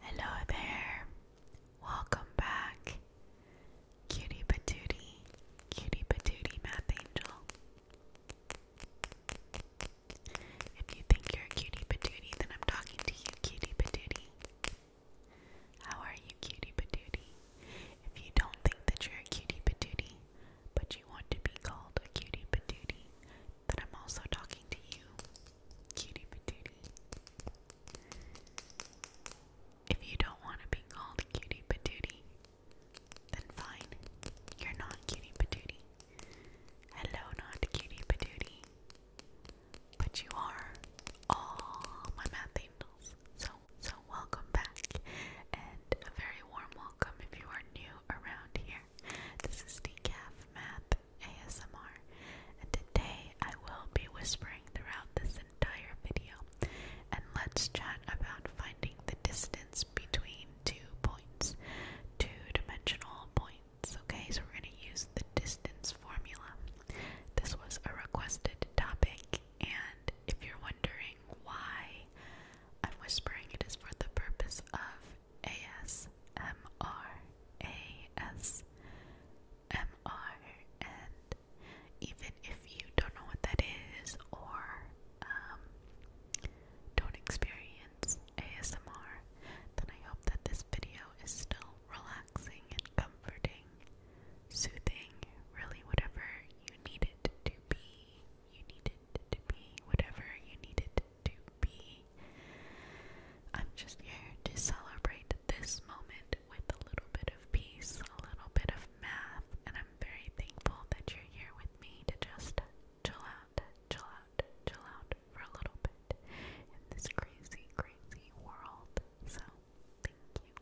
Hello there. Welcome back. Cutie patootie, cutie patootie math angel. If you think you're a cutie patootie, then I'm talking to you, cutie patootie. How are you, cutie patootie? If you don't think that you're a cutie patootie, but you want to be called a cutie patootie, that I'm also talking to you, cutie patootie. If you don't want to be called cutie patootie, then fine, you're not cutie patootie. Hello, not cutie patootie. But you are all my math angels. So, so welcome back, and a very warm welcome if you are new around here. This is Decaf Math, ASMR, and today I will be whispering throughout this entire video. And let's chat about finding the distance between two points, two dimensional points. Okay, so we're going to use the distance formula. This was a requested topic, and if you're wondering why I'm whispering, it is for the purpose of ASMR. ASMR. MR, and even if you don't know what that is or um, don't experience ASMR, then I hope that this video is still relaxing and comforting, soothing, really whatever you need it to be. You need it to be whatever you need it to be. I'm just here to celebrate this moment with a little bit of peace, a little bit of math, and I'm very thankful that you're here with me to just chill out, chill out, chill out for a little bit in this crazy, crazy world. So, thank you.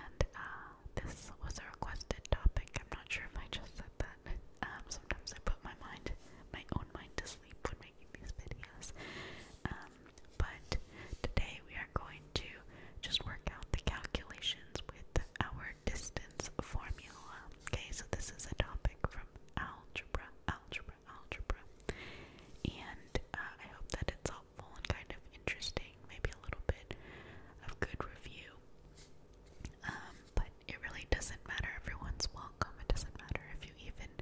And uh, this was a requested topic. I'm not sure if I just said that. Um, sometimes I put my mind, my own mind to sleep when making these videos. Um, but today we are going to just work out the calculations with our distance formula. Okay, so this is a topic from algebra, algebra, algebra. And uh, I hope that it's helpful and kind of interesting, maybe a little bit of good review. Um, but it really doesn't matter, everyone's welcome. It doesn't matter if you even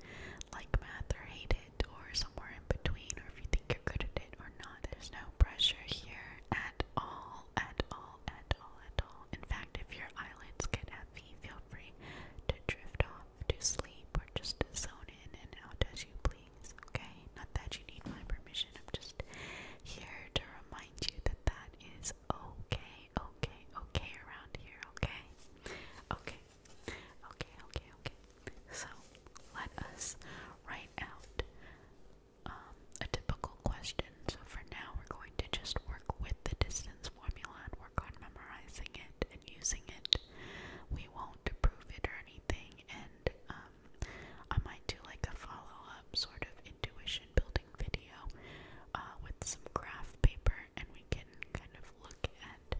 like math or hate it or somewhere in between or if you think you're good at it or not. There's no pressure here at all, at all, at all, at all. In fact, if your eyelids get heavy, feel free to drift off to sleep or just zone in and out as you please, okay? Not that you need my permission, I'm just here to remind you that that is okay, okay, okay around here, okay? Okay, Okay, okay, okay. So let us write out um, a typical question. So for now, we're going to just work with the distance formula and work on memorizing it and using it. We won't prove it or anything, and um, I might do like a follow up sort of intuition building video uh, with some graph paper and we can kind of look at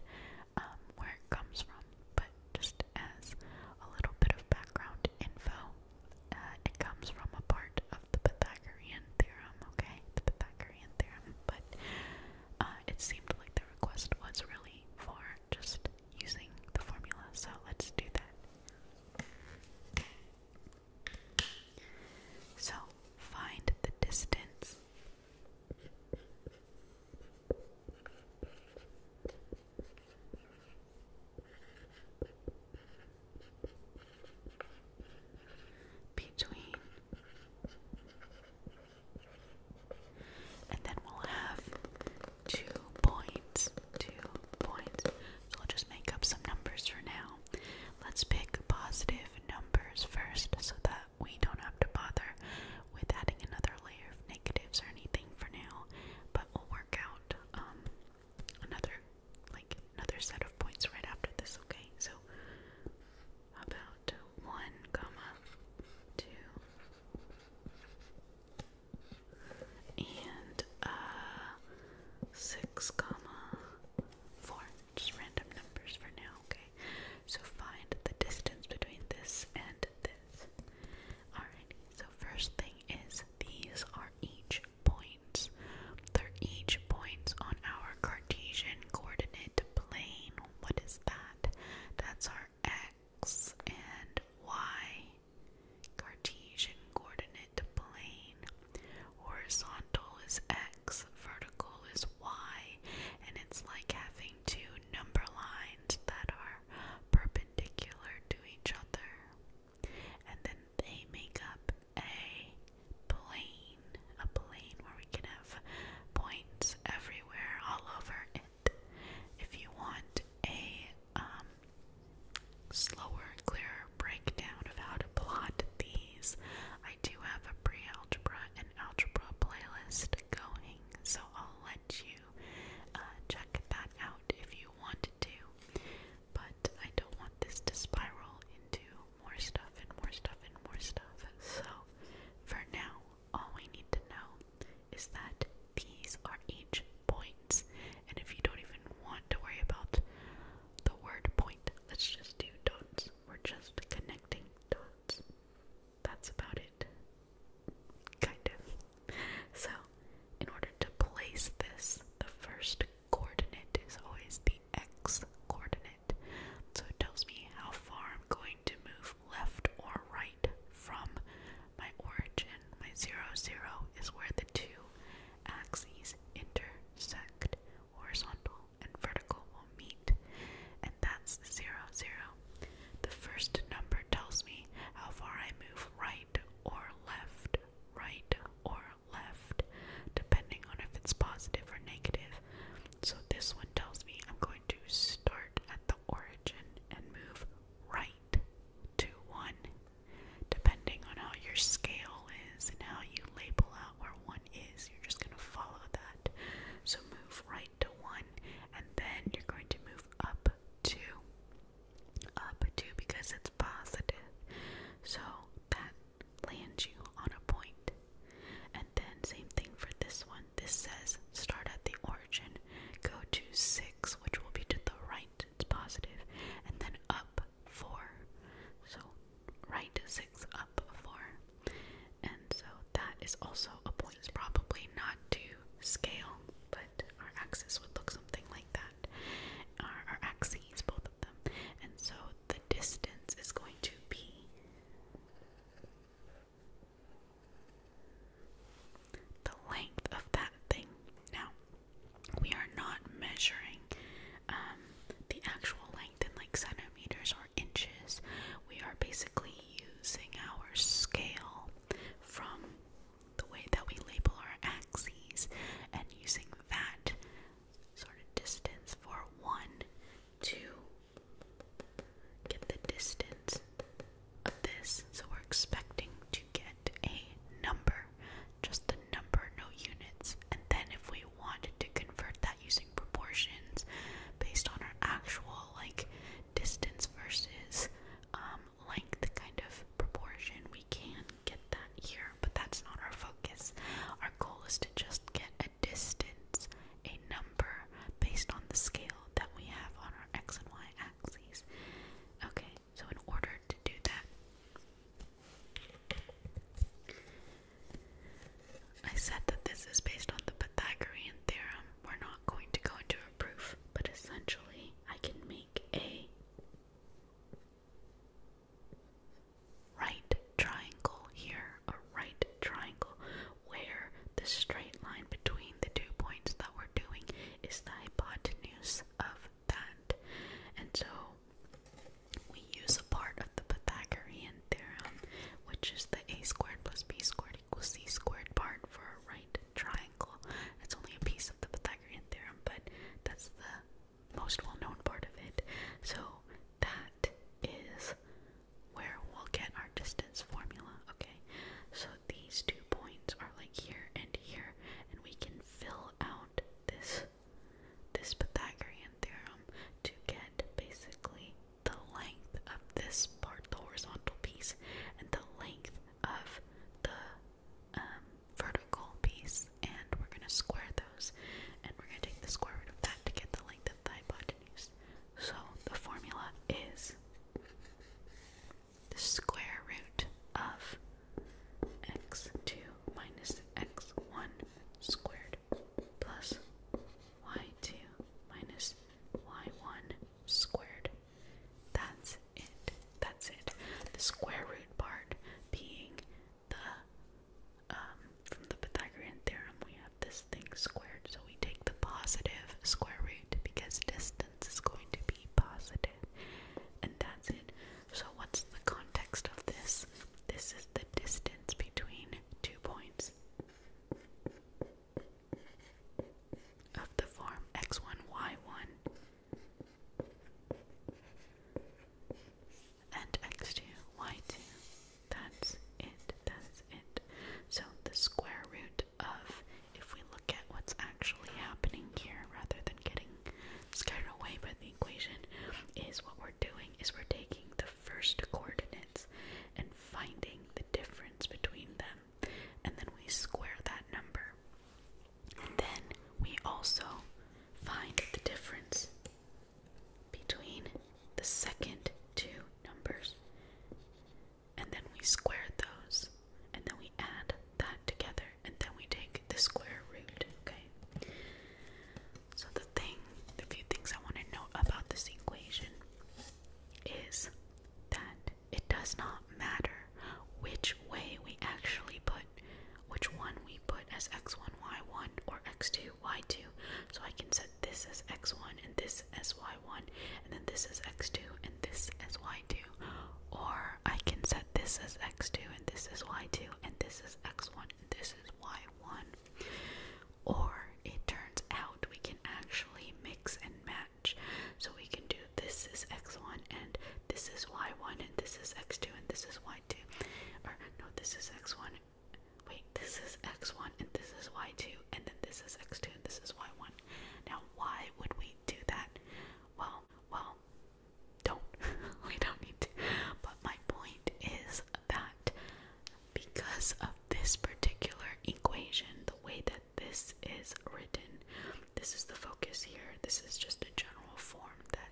um, where it comes from. But just as a little bit of background info, uh, it comes from a part of the Pythagorean theorem, okay? The Pythagorean theorem, but uh, it seemed like the request was really for just using the formula, so let's do that. So, find the distance between. And then we'll have two points. Two points. So I'll just make up some numbers for now. Let's pick positive numbers first so that we don't have to bother with adding another layer of negatives or anything for now, but we'll work out um, another like another set of points right after this, okay? So about one comma two and uh, six comma four just random numbers for now okay so find the distance between this and this. Alrighty, so first thing is these are each points. They're each points on our Cartesian coordinate plane. What is that? That's our x and y Cartesian coordinate plane. Horizontal is x, vertical is y, and it's like having two number lines that are perpendicular to each other. And then they make up a plane, a plane where we can have points everywhere, all over it. If you want a um, slower, clearer breakdown of how to plot these, I do have a pre-algebra and algebra playlist going, so I'll let you uh, check that out if you want to. But I don't want this to spiral into more stuff and more stuff and more stuff. So for now, all we need to know is that these are each points. And if you don't even want to worry about the word point, let's just do dots. We're just connecting dots that's about it. Kind of. So, in order to place this, the first coordinate is always the x coordinate. So it tells me how far I'm going to move left or right from my origin. My zero zero is where the two axes intersect horizontal and vertical will meet, and that's 0, The first number tells me how far I move right or left, right or left, depending on if it's positive or negative. So this one tells me I'm going to start at the origin and move right to 1, depending on how your scale is and how you label out where 1 is, you're just going to follow that. So move right to 1, and then you're going to move up 2. Up 2 because it's positive. So that lands you on a point. And then, same thing for this one. This says start at the origin, go to 6, which will be to the right, it's positive, and then up 4. So, right 6, up 4. And so that is also a point. It's probably not to scale, but our axis would look something like that. Our, our axes, both of them. And so the distance is going to be the length of that thing. Now, we are not measuring um, the actual length in like centimeters or inches, we are basically using our scale from the way that we label our axes and using that sort of distance for one to get the distance of this. So we're expecting to get a number, just a number, no units. And then if we wanted to convert that using proportions based on our actual like distance versus um, length kind of proportion. We can get that here, but that's not our focus. Our goal is to just get a distance, a number based on the scale that we have on our x and y axes. Okay, so in order to do that, I said that this is based on the Pythagorean theorem. We're not going to go into a proof, but essentially, I can make a right triangle here, a right triangle where the straight line between the two points that we're doing is the hypotenuse of that. And so we use a part of the Pythagorean theorem, which is the a squared plus b squared equals c squared part for a right triangle. It's only a piece of the Pythagorean theorem, but that's the most well known part of it. So that is where we'll get our distance formula, okay? So these two points are like here and here, and we can fill out this this Pythagorean theorem to get basically the length of this part, the horizontal piece, and the length of the um, vertical piece, and we're going to square those, and we're going to take the square root of that to get the length of the hypotenuse. So the formula is the square root of x2 minus x1 squared plus y2 minus y1 squared. That's it. That's it. The square root part being the, um, from the Pythagorean theorem, we have this thing squared. So we take the positive square root because distance is going to be positive. And that's it. So what's the context of this? This is the distance between two points of the form X1Y1 and X2Y2. That's it, that's it. So the square root of, if we look at what's actually happening here rather than getting scared away by the equation, is what we're doing is we're taking the first coordinates and finding the difference between them, and then we square that number. And then we also find the difference between the second two numbers, and then we square those, and then we add that together, and then we take the square root. Okay. So the thing, the few things I want to know about this equation is that it does not matter which way we actually put which one we put as x1, y1 or x2, y2. So I can set this as x1 and this as y1 and then this as x2 and this as y2. Or I can set this as x2 and this as y2 and this is x1 and this is y1 or it turns out we can actually mix and match. So we can do this is x1 and this is y1 and this is x2 and this is y2. Or no, this is x1. Wait, this is x1 and this is y2 and then this is x2 this is y1. Now, why would we do that? Well, well, don't. we don't need to. But my point is that because of this particular equation, the way that this is written. This is the focus here. This is just a general form that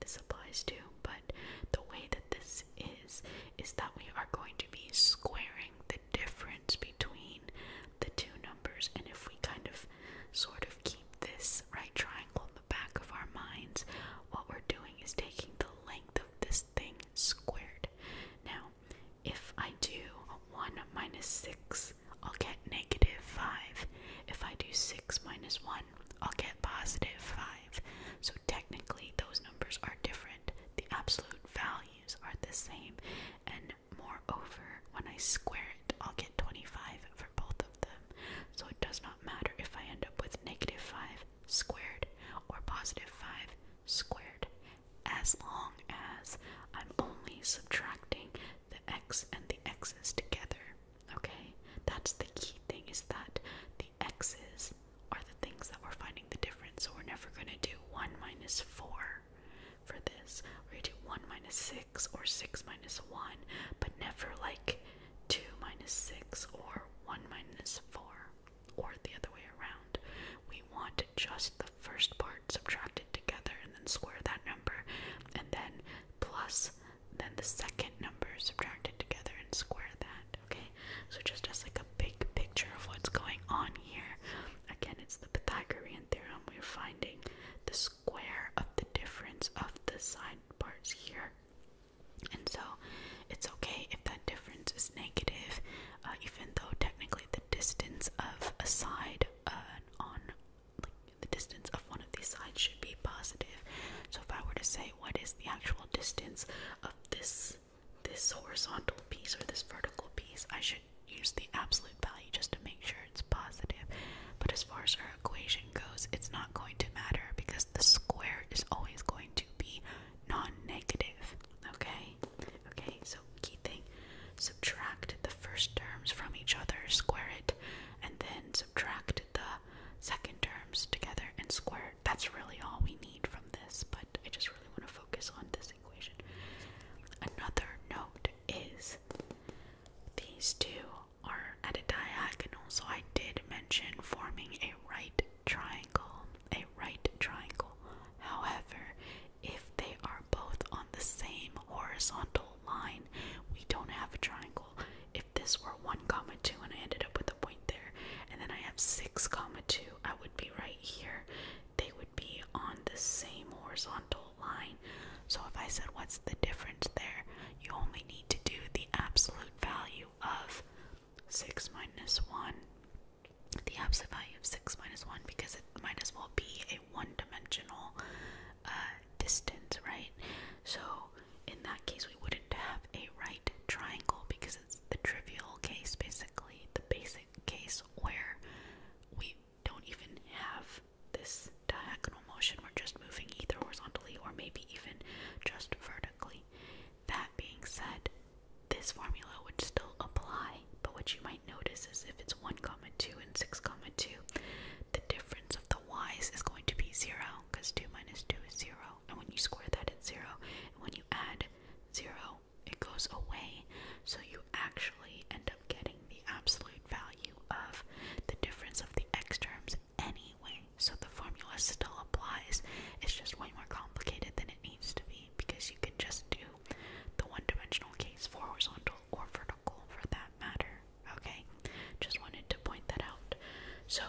this applies to, but the way that this is, is that we are going to be squaring the difference between the two numbers. And if we kind of sort of keep this right triangle in the back of our minds, what we're doing is taking the length of this thing squared. Now, if I do 1 minus 6, I'll get negative 5. If I do 6 minus 1, I'll get positive 5. So technically, those numbers are different. The absolute values are the same. And moreover, when I square it, I'll get 25 for both of them. So it does not matter if I end up with negative 5 squared or positive 5 squared as long as I'm only subtracting the x and the x's together. Okay? That's the key thing is that the x's are the things that we're finding the difference. So we're never going to do 1 minus 4 for this. We're going to do 1 minus 6 or 6 minus 1, but never like 2 minus 6 or 1 minus 4 or the other way around. We want just the first part subtracted together and then square that number, and then plus then the second number subtracted together and square that, okay? So just as like a big picture of what's going on here. Again, it's the Pythagorean theorem. We're finding the square of the difference of the side parts here. And so it's okay if that difference is negative uh, even though technically the distance of a side uh, on like the distance of one of these sides should be positive. So if I were to say what is the actual distance of this this horizontal piece or this vertical piece, I should use the absolute value just to make sure it's positive. But as far as our equation goes, it's not going to matter because the square is always going to be non-negative. Okay? Okay, so key thing. Subtract the first terms from each other, square it, and then subtract the second terms together and square it. That's really all we need from this, but I just really want to focus on this equation. Another note is these two are at a diagonal, so I did mention forming a right triangle, a right triangle. However, if they are both on the same horizontal line, we don't have a triangle. If this were 1 comma 2 and I ended up with a point there, and then I have 6 comma 2, I would be right here. They would be on the same horizontal line. So if I said what's the difference there, you only need to do the absolute value of 6 minus 1, the absolute value of 6 minus 1, because it might as well be a one dimensional uh, distance, right? So in that case, we wouldn't have a right triangle because it's the trivial case, basically, the basic case where we don't even have this diagonal motion, we're just moving either horizontally or maybe even just vertically. That being said, this formula would still apply, but what you might notice is if it's 1 comma 2 and 6 comma 2, the difference of the y's is going to be 0 because 2 minus 2 is 0. And when you square that, it's 0. And when you add 0, it goes away. So you actually end up getting the absolute value of the difference of the x terms anyway. So the formula still applies. It's just way more complicated than it needs to be because you can just do the one-dimensional case for horizontal or vertical for that matter. Okay? Just wanted to point that out. So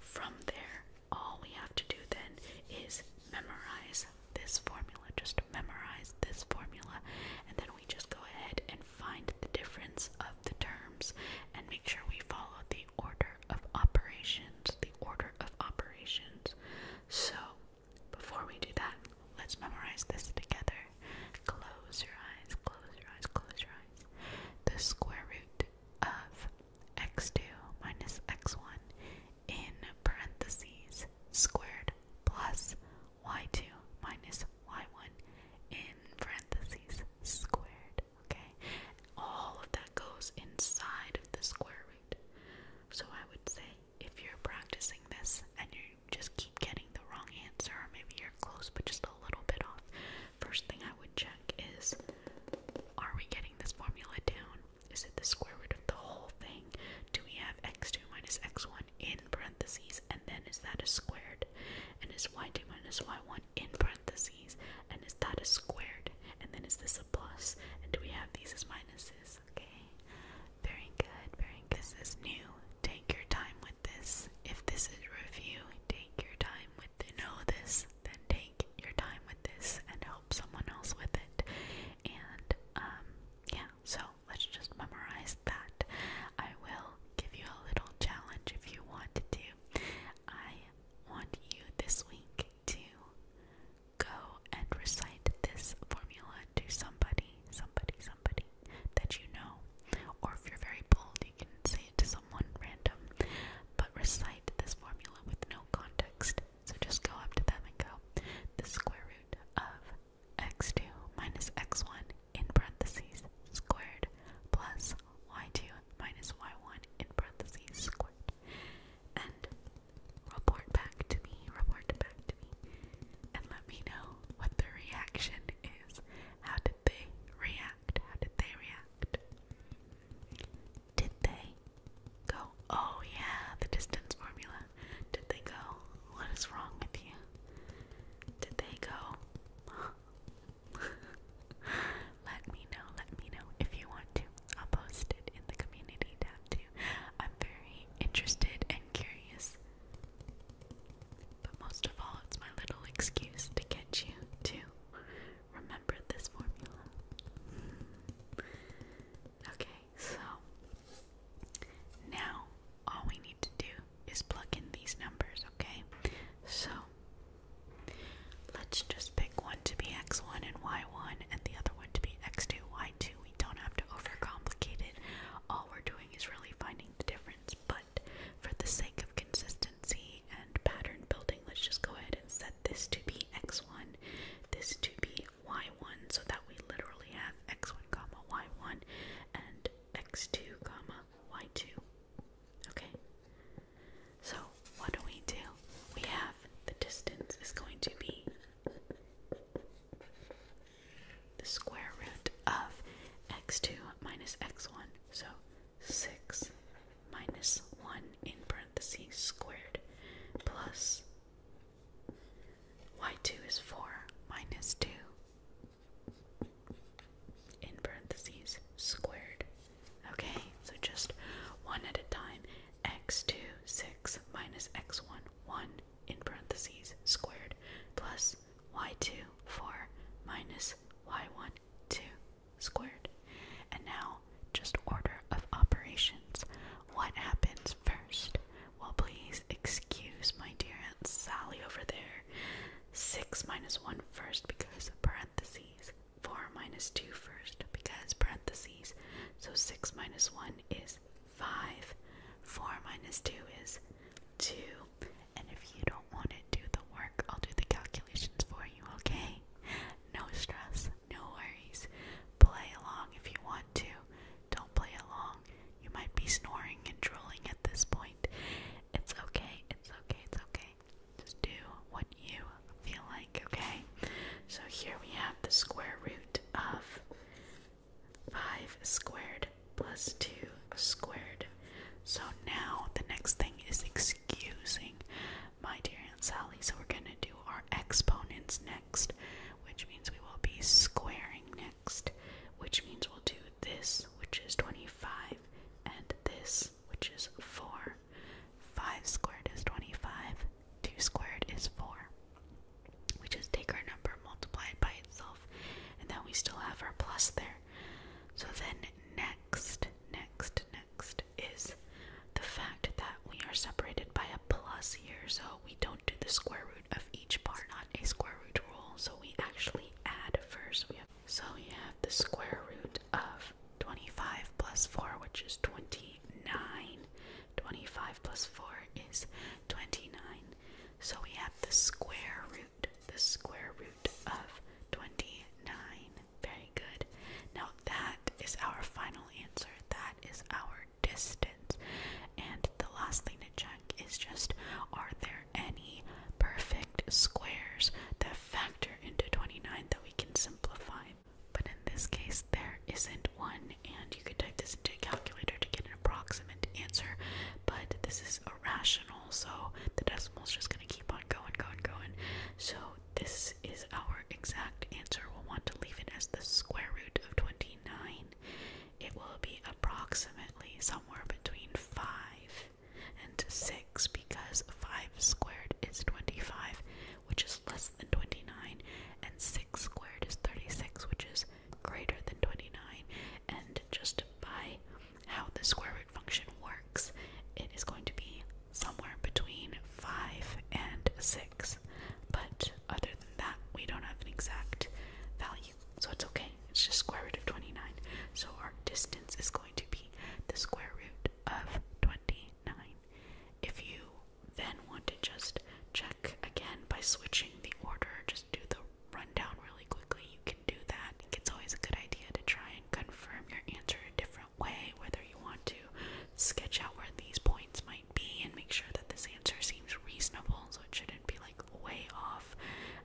from there, all we have to do then is memorize this formula. Just memorize this formula and then we just go ahead and find the difference of the terms and make sure we follow the order of operations. The order of operations so, before we do that, let's memorize this together. Close your eyes, close your eyes, close your eyes. The square root of x2 minus x1 in parentheses squared plus y2 minus y1 in parentheses squared. Okay? All of that goes inside of the square root. So I would say if you're practicing this and you just keep getting the wrong answer, or maybe you're close but just a little bit off, first thing I would check is are we getting this formula down? Is it the square root of the whole thing? Do we have x2 minus x1 in parentheses and then is that a squared? And is y2 minus y1 in parentheses and is that a squared? And then is this a plus? And do we have these as minus kisses, okay? Very good, very This is new. Take your time with this. If this is review, take your time with it. Know this, then take your time with this and help someone else with it. And um yeah, so let's just memorize that. I will give you a little challenge if you want to. I want you this week to go and recite this formula to somebody, somebody, somebody that you know. Or if you're very bold, you can say it to someone random. But recite this formula with no context. So just go up to them and go, the square root of x2 minus x1 in parentheses squared plus y2 minus y1 in parentheses squared. And report back to me, report back to me, and let me know what the reaction is. How did they react? How did they react? Did they go, oh yeah, the distance formula? Did they go, what is wrong with you? Did they go? let me know, let me know if you want to. I'll post it in the community tab too. I'm very interested and curious. But most of all, it's my little excuse to get you to remember this formula. Hmm. Okay, so now all we need to do is plug in these numbers, okay? So let's just pick one to be x1 and y1 and the other one to be x2, y2. We don't have to overcomplicate it. All we're doing is really finding the difference. But for the sake of consistency and pattern building, let's just go ahead and set this to be x1, this to be y1, so that we literally have x1 comma y1 and x2 comma y2. Okay? So what do we do? We have the distance is going to be the square root of x2 minus x1. So 6 minus 1 in parentheses squared plus y2 is 4 minus 2 in parentheses squared. Okay, so just one at a time. x2 6 minus x1, 1 in parentheses squared plus y2, 4 minus y1, 2 squared. And now, just order of operations. What happens first? Well, please excuse my dear Aunt Sally over there. 6 minus 1 first because parentheses. 4 minus 2 first because parentheses. So 6 minus 1 is 5, 4 minus 2 is 2, and if you don't want to do the work, I'll do the calculations for you, okay? No stress, no worries. Play along if you want to. Don't play along. You might be snoring and drooling at this point. It's okay, it's okay, it's okay. Just do what you feel like, okay? So here we have the square root of 5 squared plus 2 squared. So now the next thing is excusing my dear Aunt Sally. So we're going to do our exponents next, which means we will be squaring next, which means we'll do this, which is 25, and this, which is 4. 5 squared is 25, 2 squared is 4. We just take our number, multiply it by itself, and then we still have our plus there. So then next, next, next is the fact that we are separated by a plus here, so we don't do the square root of each part, not a square root rule, so we actually add first. We have, so we have the square root of 25 plus 4, which is 29, 25 plus 4 is 29. So we have the square root, the square root of 29. Very good. Now that is our final answer. That is our distance. And the last thing to check is just are there any perfect squares that factor into 29 that we can simplify? But in this case, there isn't one, and you can type this into a calculator to get an approximate answer. But this is irrational, so the decimal's just going to keep on going, going, going. So this is our exact answer. We'll want to leave it as the square root of 29. It will be approximately somewhere between 5 and 6 because 5 squared is 25, which is less than 29, and 6 6 squared is 36, which is greater than 29. And just by how the square root function works, it is going to be somewhere between 5 and 6. But other than that, we don't have an exact value. So it's okay. It's just square root of 29. So our distance is going to be the square root of 29. If you then want to just check again by switching the order, just do the rundown really quickly, you can do that. I think it's always a good idea to try and confirm your answer a different way, whether you want to sketch out where these points might be and make sure that this answer seems reasonable, so it shouldn't be like way off.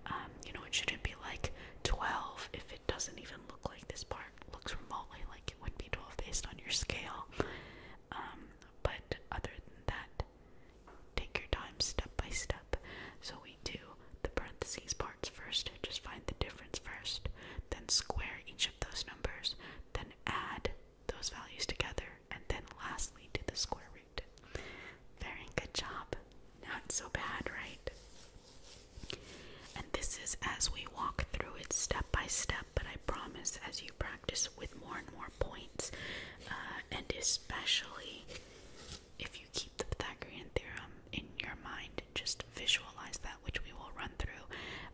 Um, you know, it shouldn't be like 12 if it doesn't even look like this part looks remotely like it would be 12 based on your scale. Um, but other than that, take your time step by step. So we do the parentheses parts first, just find the difference first, then square each of those numbers, then add those values together, and then lastly do the square root. Very good job. Not so bad, right? And this is as we walk through it step by step, but I promise as you practice with more and more points, uh, and especially if you keep the Pythagorean theorem in your mind, and just visualize that, which we will run through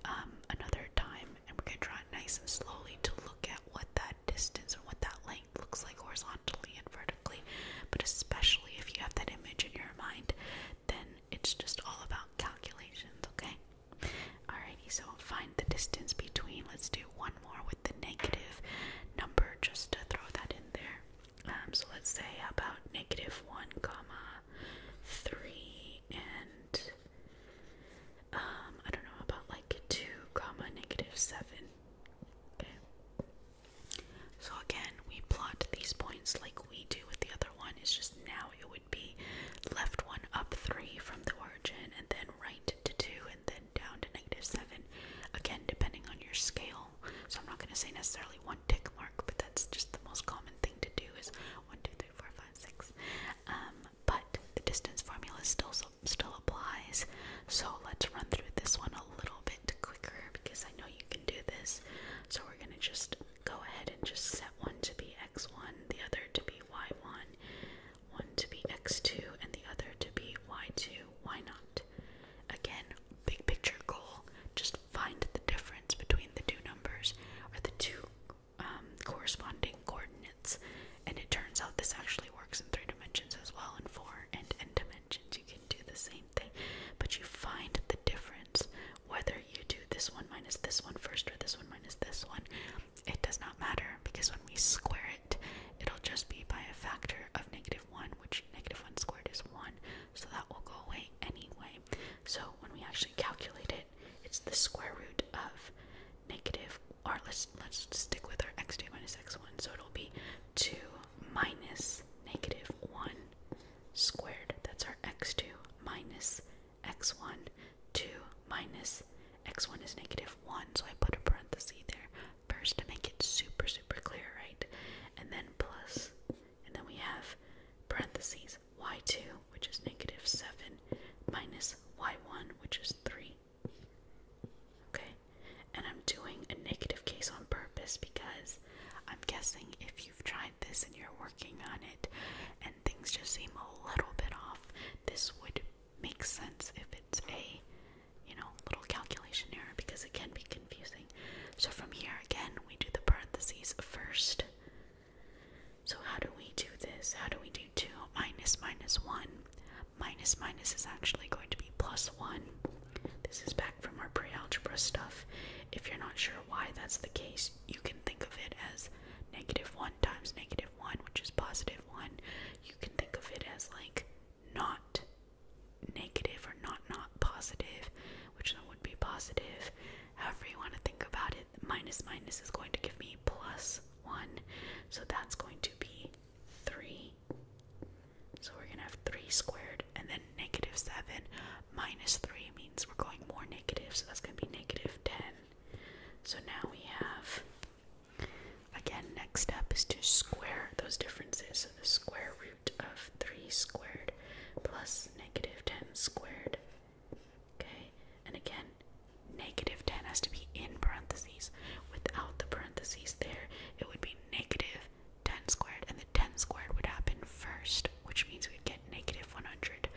um, another time, and we're gonna draw it nice and slowly to look at what that distance and what that length looks like horizontally and vertically. But especially if you have that image in your mind, then it's just all about calculations, okay? Alrighty, so find the distance between. Let's do one more with the negative number just to throw that in there. Um, so let's say about negative 1, comma 3 and um, I don't know, about like 2, comma negative 7. Okay. So again, we plot these points like we do with the other one. It's just now it would be left one up three from the origin and then right to two and then down to negative seven. Again, depending on your scale. So I'm not going to say necessarily one tick mark, but that's just the most common thing to do is one, two, three, four, five, six. Um, but the distance formula still still applies. So let's run through this one a little bit quicker because I know you can do this. So we're gonna just go ahead and just one to be x1, the other to be y1, one to be x2, and the other to be y2. Why not? Again, big picture goal just find the difference between the two numbers or the two um, corresponding coordinates. And it turns out this actually works in three dimensions as well, and four and n dimensions. You can do the same thing, but you find the difference whether you do this one minus this one first or this one minus this one it does not matter because when we square it, it'll just be by a factor of negative 1, which negative 1 squared is 1, so that will go away anyway. So when we actually calculate it, it's the square root of negative, or let's, let's stick with our x2 minus x1, so it'll be 2 minus negative 1 squared, that's our x2 minus x1 2 minus x1 is negative 1 so I put a parenthesis there first to make it super super clear right and then plus and then we have parentheses y2 which is negative 7 minus y1 which is 3 okay and I'm doing a negative case on purpose because I'm guessing if you've tried this and you're working on it things just seem a little bit off, this would make sense if it's a, you know, little calculation error because it can be confusing. So from here again, we do the parentheses first. So how do we do this? How do we do 2 minus minus 1? Minus minus is actually going to be plus 1. This is back from our pre-algebra stuff. If you're not sure why that's the case, you can think of it as negative 1 times negative 1, which is positive 1, you can think of it as like not negative or not not positive, which then would be positive. However, you want to think about it, minus minus is going to give me plus 1, so that's going to be 3. So we're going to have 3 squared and then negative 7 minus 3 means we're going more negative, so that's going to be negative 10. So now we have, again, next step is to square those differences. So the square root of 3 squared plus negative 10 squared. Okay, and again, negative 10 has to be in parentheses. Without the parentheses there, it would be negative 10 squared, and the 10 squared would happen first, which means we'd get negative 100.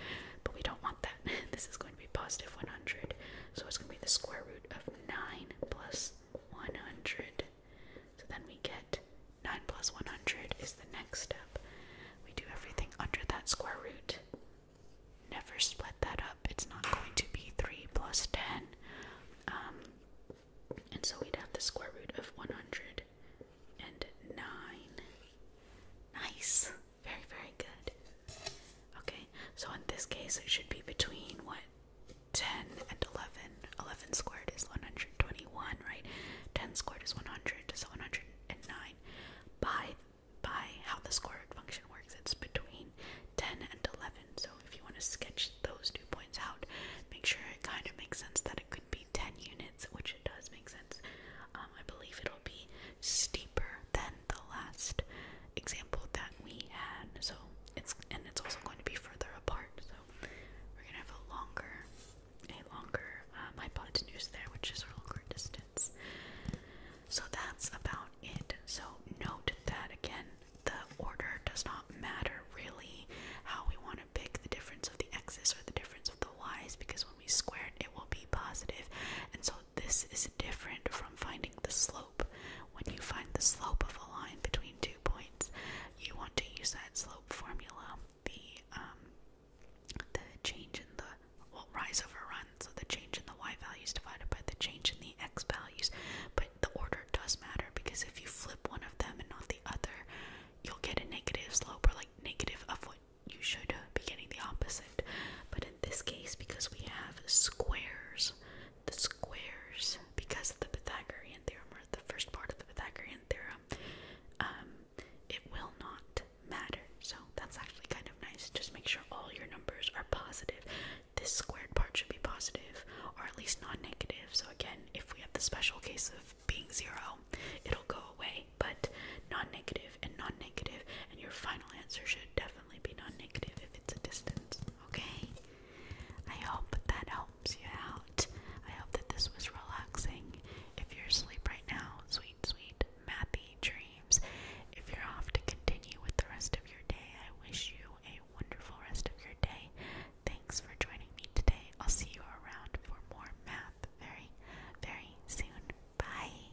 But we don't want that. this is going be positive 100. So it's going to be the square root of 9 plus 100. So then we get 9 plus 100 is the next step. We do everything under that square root. Never split that up. It's not going to be 3 plus 10. Um, and so we'd have the square root of 109. Nice. Very, very good. Okay, so in this case, it should be between what 10 and 11. 11 squared is 121, right? 10 squared is 100, so 109. By by how the square root function works, it's between 10 and 11. So if you want to sketch those two points out, make sure it kind of makes sense that it could be 10 units, which it does make sense. Um, I believe it'll be steeper than the last example that we had. So it's and it's also going to be further apart. So we're gonna have a longer, a longer um, hypotenuse there, which is a longer distance. So that's about it. So note that again, the order does not matter really. How we want to pick the difference of the x's or the difference of the y's, because when we square it, it will be positive, and so this is different from finding the slope. When you find the slope of a line between two points, you want to use that slope formula, the um, the change in the well rise over run, so the change in the y values divided by the change in the x values. But the order does matter because if you flip one of them and not the other, you'll get a negative slope or like negative of what you should uh, be getting the opposite. But in this case, because we have squares, the squares, because of the Pythagorean theorem, or the first part of the Pythagorean theorem, um, it will not matter. So that's actually kind of nice. Just make sure all your numbers are positive. This squared part should be positive, or at least not negative. So again, if we have the special case of being zero, it'll go away. But non-negative and non-negative, and your final answer should definitely definitely be non-negative if it's a distance, okay? I hope that helps you out. I hope that this was relaxing. If you're asleep right now, sweet, sweet, mathy dreams. If you're off to continue with the rest of your day, I wish you a wonderful rest of your day. Thanks for joining me today. I'll see you around for more math very, very soon. Bye.